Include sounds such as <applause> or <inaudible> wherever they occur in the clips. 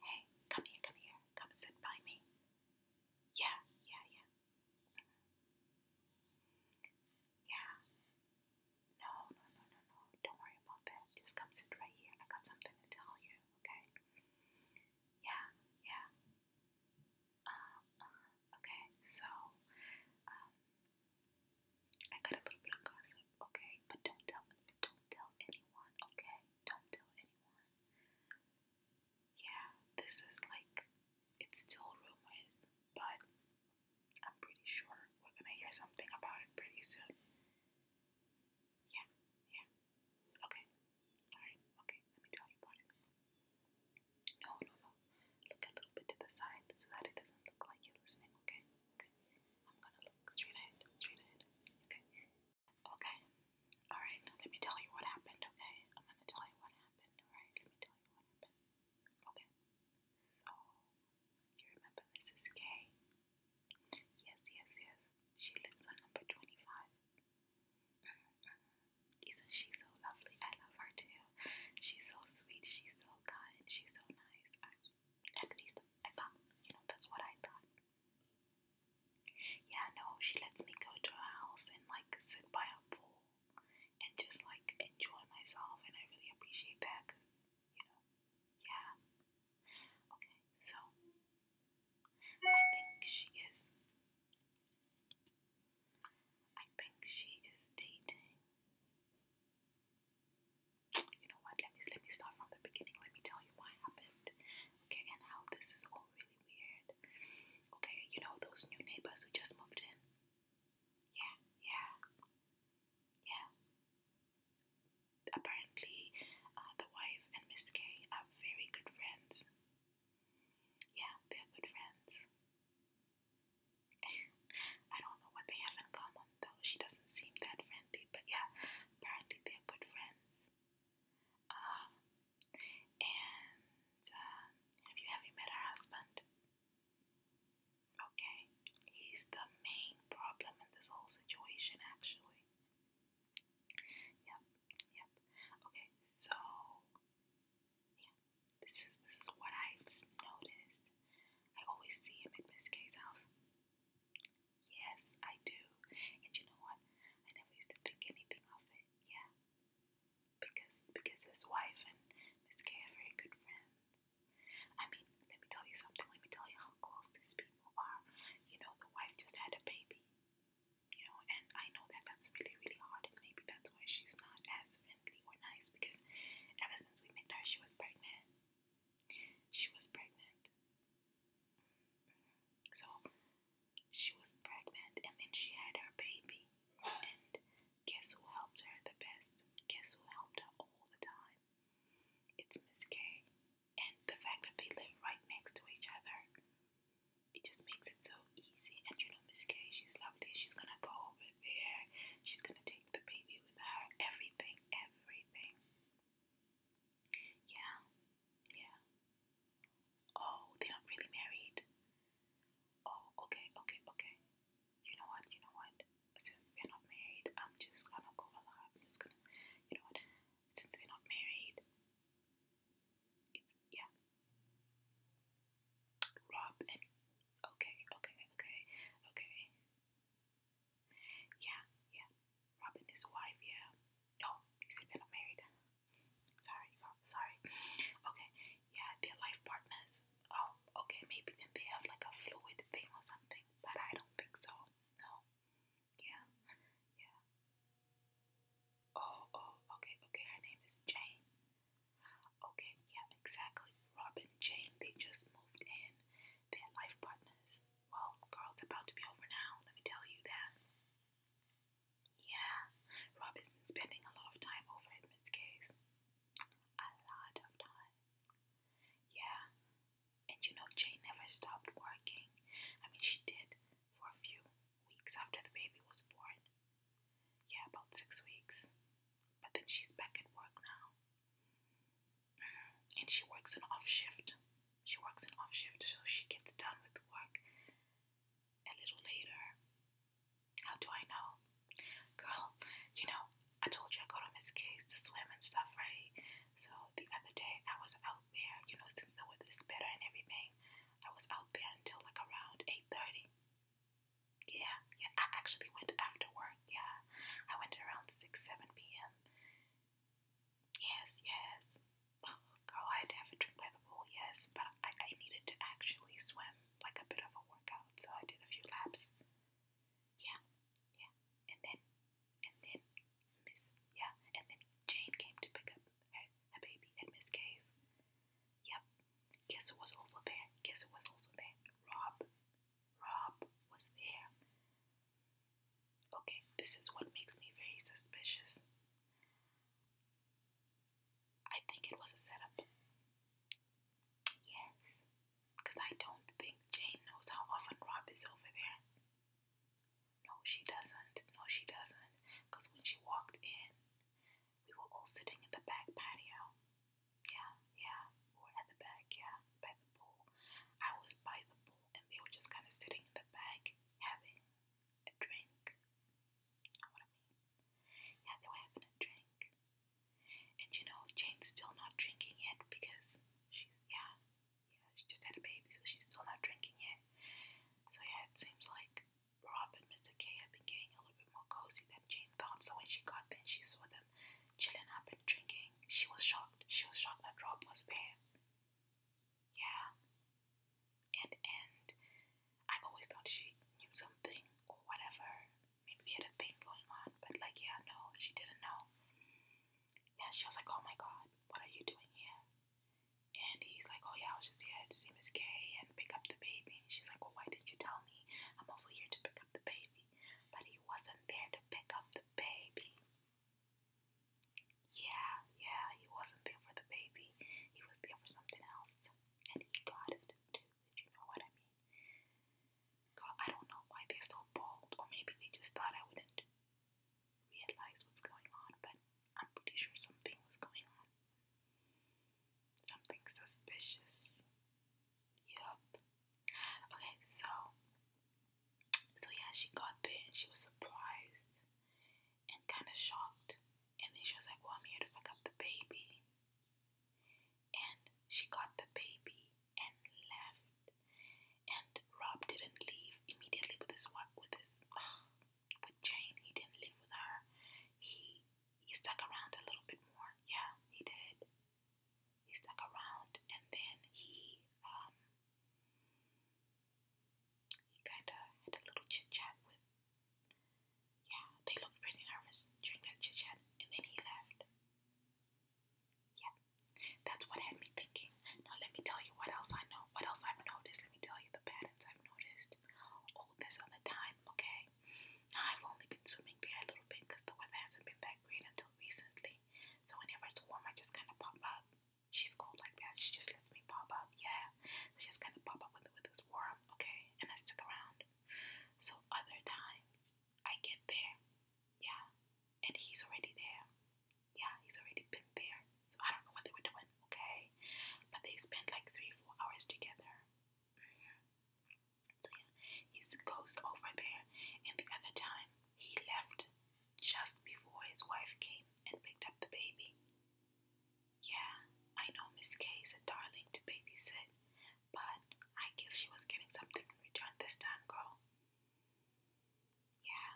Hey, come here, come here, come sit by me. Yeah, yeah, yeah. Yeah. No, no, no, no, no. Don't worry about that. Just come sit right here. I got something to tell you, okay? Yeah, yeah. Uh, uh, okay, so, um, I got a little bit of gossip, okay? But don't tell, don't tell anyone, okay? don't tell anyone. Yeah, this is like, it's still rumors, but I'm pretty sure we're gonna hear something about it pretty soon. Yeah, yeah. Okay, alright, okay, let me tell you about No, no, no. Look a little bit to the side so that it doesn't look like you're listening, okay? Okay. I'm gonna look straight ahead, straight ahead. Okay. Okay. Alright, let me tell you what happened, okay? I'm gonna tell you what happened, alright? Let me tell you what happened. Okay. So, you remember Mrs. K? Yes, yes, yes. She lives on number 25. Mm-hmm. Isn't she so lovely? I love her too. She's so sweet, she's so kind, she's so nice. at least I thought, you know, that's what I thought. Yeah, no, she lets me go to her house and like sit by her pool and just like enjoy myself, and I really appreciate that because you know, yeah. Okay, so I think she is. I think she is dating you know what? Let me let me start from the beginning. Let me tell you what happened. Okay, and how this is all really weird. Okay, you know those new neighbors who just moved in. Yeah, yeah, yeah. Apparently, uh, the wife and Miss K are very good friends. Yeah, they're good friends. <laughs> I don't know what they have in common, though she doesn't seem that friendly, but yeah, apparently they're good friends. Um, and um, have you ever met her husband? Okay, he's the main problem in this whole situation, actually. Yep, yep. Okay, so yeah, this is this is what I've noticed. I always see him at Miss K's house. Yes, I do. And you know what? I never used to think anything of it. Yeah. Because because his wife and Miss K are very good friends. I mean, let me tell you something. Let me tell you how close these people are. You know, the wife just had a baby. You know, and I know that that's really, really hard, and maybe that's why she's not as friendly or nice. Because ever since we met her, she was pregnant. She was pregnant. So she was pregnant and then she had her baby. And guess who helped her the best? Guess who helped her all the time? It's Miss K. And the fact that they live right next to each other, it just makes it so easy. And you know, Miss K, she's lovely. She's gonna go over there. She's gonna take the baby with her. Everything, everything. Yeah, yeah. Oh, they're not really married. Oh, okay, okay, okay. You know what? You know what? Since we're not married, I'm just gonna go alive. I'm just gonna, you know what? Since we're not married, it's yeah. Rob and okay, okay, okay, okay. Yeah, yeah. Robin his wife, yeah. Oh, you said they're not married. Sorry, sorry. Okay, yeah, they life partners. Oh, okay, maybe then they have like a fluid thing or something, but I don't think so. No. Yeah, yeah. Oh, oh, okay, okay, her name is Jane. Okay, yeah, exactly. Robin, Jane, they just moved in. they life partners. Well, girl, it's about to be over now, let me tell you that. Yeah, Rob has been spending a lot of time over at Miss K's. A lot of time. Yeah, and you know, Jane never stopped working. I mean, she did for a few weeks after the baby was born. Yeah, about six weeks. But then she's back at work now and she works an off shift. She works an off shift, so she gets done with work a little later. How do I know? Girl, you know, I told you I go to Miss K's to swim and stuff, right? So the other day I was out there, you know, since the weather is better and everything, I was out there until like around 8.30. Yeah, yeah, I actually went after work, yeah. I went around 6, 7 p.m. Yes, yes. Oh, girl, I had to have a drink by the pool, yes, but I, I needed to actually swim, like a bit of a workout, so I did a few laps. Yeah, yeah. And then, and then, Miss, yeah, and then Jane came to pick up her, baby at Miss K's. Yep. Guess was also there? Guess was also there? Rob. Rob was there. Okay, this is what makes me very suspicious. I think it was a setup. Yes, because I don't think Jane knows how often Rob is over there. No, she doesn't. No, she doesn't. Because when she walked in, we were all sitting in the back patio. Yeah, yeah, we were at the back, yeah, by the pool. I was by the pool and they were just kind of sitting in the back having a drink. You know Yeah, they were having a drink. And you know, Jane's still not drinking yet because she's, yeah, yeah, she just had a baby, so she's still not drinking yet. So yeah, it seems like Rob and Mr. K have been getting a little bit more cozy than Jane thought. So when she got there, she saw them Chilling up and drinking. She was shocked. She was shocked that Rob was there. Yeah. And and I always thought she knew something or whatever. Maybe they had a thing going on, but like yeah, no, she didn't know. Yeah, she was like, Oh my god, what are you doing here? And he's like, Oh yeah, I was just here to see Miss Kay and pick up the baby. And she's like, Well, why didn't you tell me? I'm also here to pick up the baby. But he wasn't there to pick up the baby. Yeah, yeah, he wasn't there for the baby. He was there for something else. And he got it too, if you know what I mean. God, I don't know why they're so bold, or maybe they just thought I wouldn't realize what's going on, but I'm pretty sure something was going on. Something suspicious. Yup. Okay, so so yeah, she got there and she was surprised and kind of shocked. And then she was like, "Well, I'm here to pick up the baby." And she got the baby and left. And Rob didn't leave immediately with his what with his with Jane. He didn't leave with her. He he stuck around a little bit more. Yeah, he did he stuck around and then he um he kind of had a little chit chat with yeah they looked pretty nervous during that chit chat and then he left yeah that's what had me thinking now let me tell you what else I know what else I've noticed let me tell you the patterns I've noticed all this other time okay I've only been swimming there a little bit because the weather hasn't been that until recently. So whenever it's warm, I just kind of pop up. She's cold like that. She just lets me pop up. Yeah, so just kind of pop up with with this warm, okay, and I stick around. So other times I get there, yeah, and he's already there. Yeah, he's already been there. So I don't know what they were doing, okay, but they spend like three, four hours together. Mm-hmm. So yeah, he's a ghost over there, and the other time he left just before his wife came and picked up the baby. Yeah, I know Miss K is a darling to babysit, but I guess she was getting something in return this time, girl. Yeah,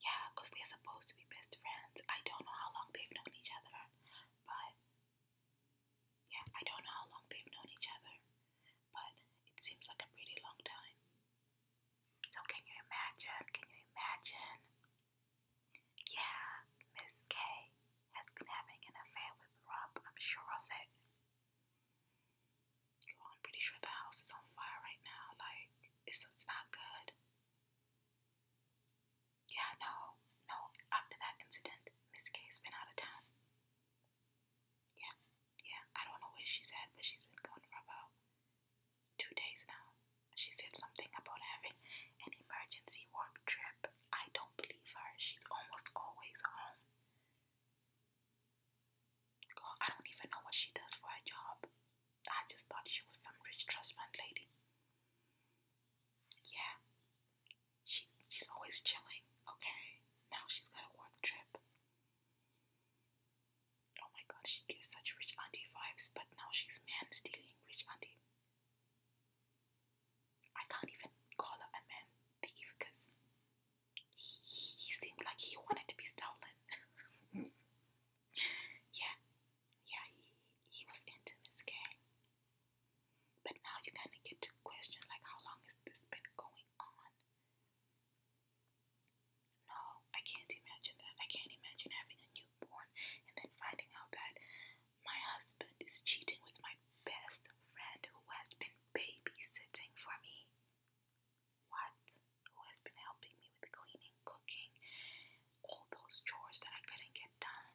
yeah, they're supposed to be best friends. I don't know how long they've known each other, but yeah, I don't know how long they've known each other but it seems like a pretty long time. So, can you imagine? Can you imagine? Yeah, Miss K has been having an affair with Rob, I'm sure of it. I'm pretty sure the house is on fire right now, like, it's, it's not good. Yeah, no, no, after that incident, Miss K has been out of town. Yeah, yeah. I don't know where she's at, but she's been gone for about two days now. She said something about having an emergency work trip. I don't believe her. She's almost always home. I don't even know what she does for her job. I just thought she was some rich trust fund lady. Yeah, she's she's always chilling. Okay, now she's got a work trip. Oh my god, she gives such rich auntie vibes, but now she's man stealing rich auntie. I can't even call her a man thief because he, seemed like he wanted to be stolen. <laughs> yeah, yeah, he, was into this game. But now you kind of get to question like how long has this been going on? No, I can't imagine that. I can't imagine having a newborn and then finding out that my husband is cheating with my best friend who has been babysitting for me. What? Who has been helping me with cleaning, cooking, all those chores that I couldn't get done.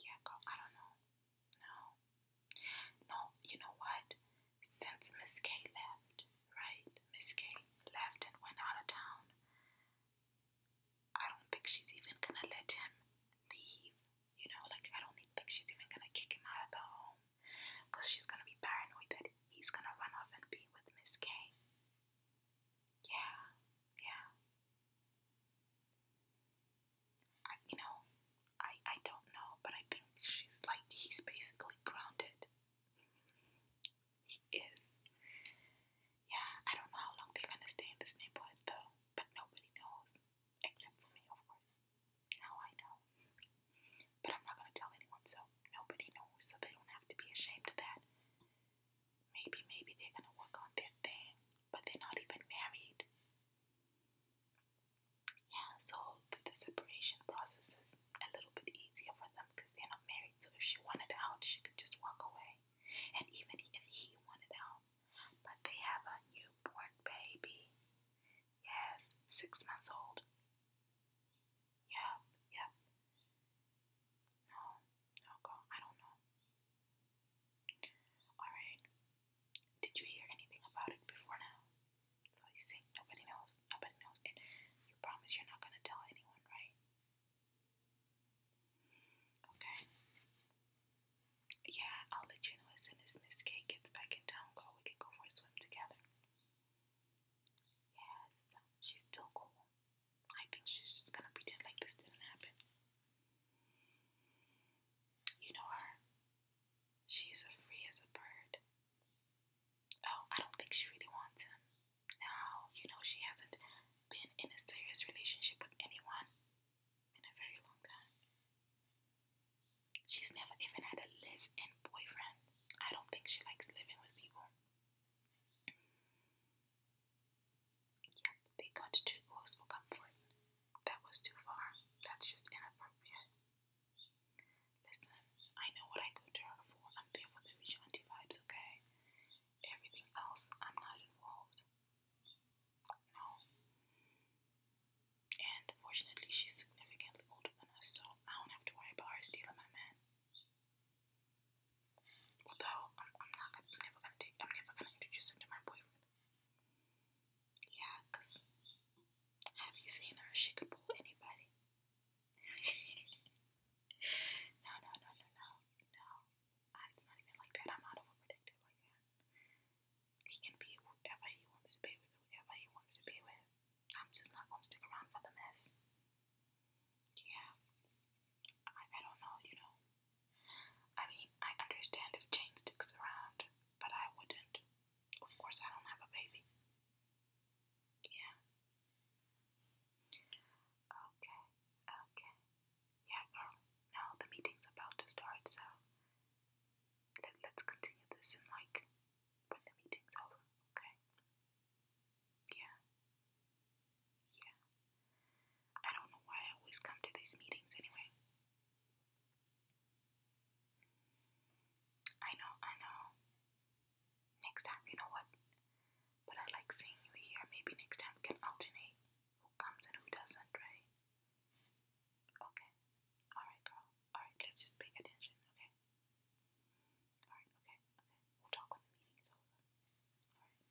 Yeah, go. I don't know. No. No, you know what? Since Miss K left, right? Miss K left and went out of town. I don't think she's even gonna let him leave. You know, like, I don't think she's even gonna kick him out of the home because she's gonna be paranoid that he's gonna run off and be with Miss K. Yeah, yeah. I, you know, I I don't know, but I think she's like he's basically grounded. He is. Yeah, I don't know how long they're gonna stay in this neighborhood though, but nobody knows except for me, of course. Now I know, but I'm not gonna tell anyone, so nobody knows, so they don't have to be ashamed of that. Maybe, maybe they're gonna work on their thing, but they're not even married. Yeah, so the separation process is a little bit easier for them because they're not married. So if she wanted out, she could just walk away. And even if he wanted out, but they have a newborn baby. Yes, six months old. Yep, yep. No, no, go. I don't know. Alright. Did you hear anything about it before now? So you say nobody knows, nobody knows, and you promise you're not gonna tell anyone, right? Okay. Yeah, I'll let you know as soon as Miss K gets back in town. Go, we can go for a swim together. Yes, she's still cool. I think she's just gonna pretend like this didn't happen. You know her? She's as free as a bird. Oh, I don't think she really wants him. Now, you know, she hasn't been in a serious relationship with anyone in a very long time. She's never even had a live in boyfriend. I don't think she likes living with people. Yep, they got too close for comfort. That was too far. That's just inappropriate. Listen, I know what I go to for. I'm there for the rich auntie vibes, okay? Everything else, I'm not involved. No. And fortunately, she's significantly older than us, so I don't have to worry about her stealing my man. Although I'm, I'm not, I'm never gonna take, I'm never gonna introduce him to my boyfriend. Yeah, because have you seen her? She could pull anybody. <laughs> no, no, no, no, no, no. it's not even like that. I'm not overprotective like that. He can be whoever he wants to be with, whoever he wants to be with. I'm just not going to stick around for the mess. Yeah. I, I don't know, you know. I mean, I understand if Jane sticks around, but I wouldn't. Of course, I don't have a baby. Yeah. Okay, okay. Yeah, girl. Now the meeting's about to start, so let's continue this in like when the meeting's over, okay? Yeah. Yeah. I don't know why I always come to these meetings anyway. I know, I know. Next time, you know what? But I like seeing you here. Maybe next time can alternate who comes and who doesn't, right? Okay. Alright, girl. Alright, let's just attention, okay? Alright, okay, okay. We'll talk when the meeting is over. Alright.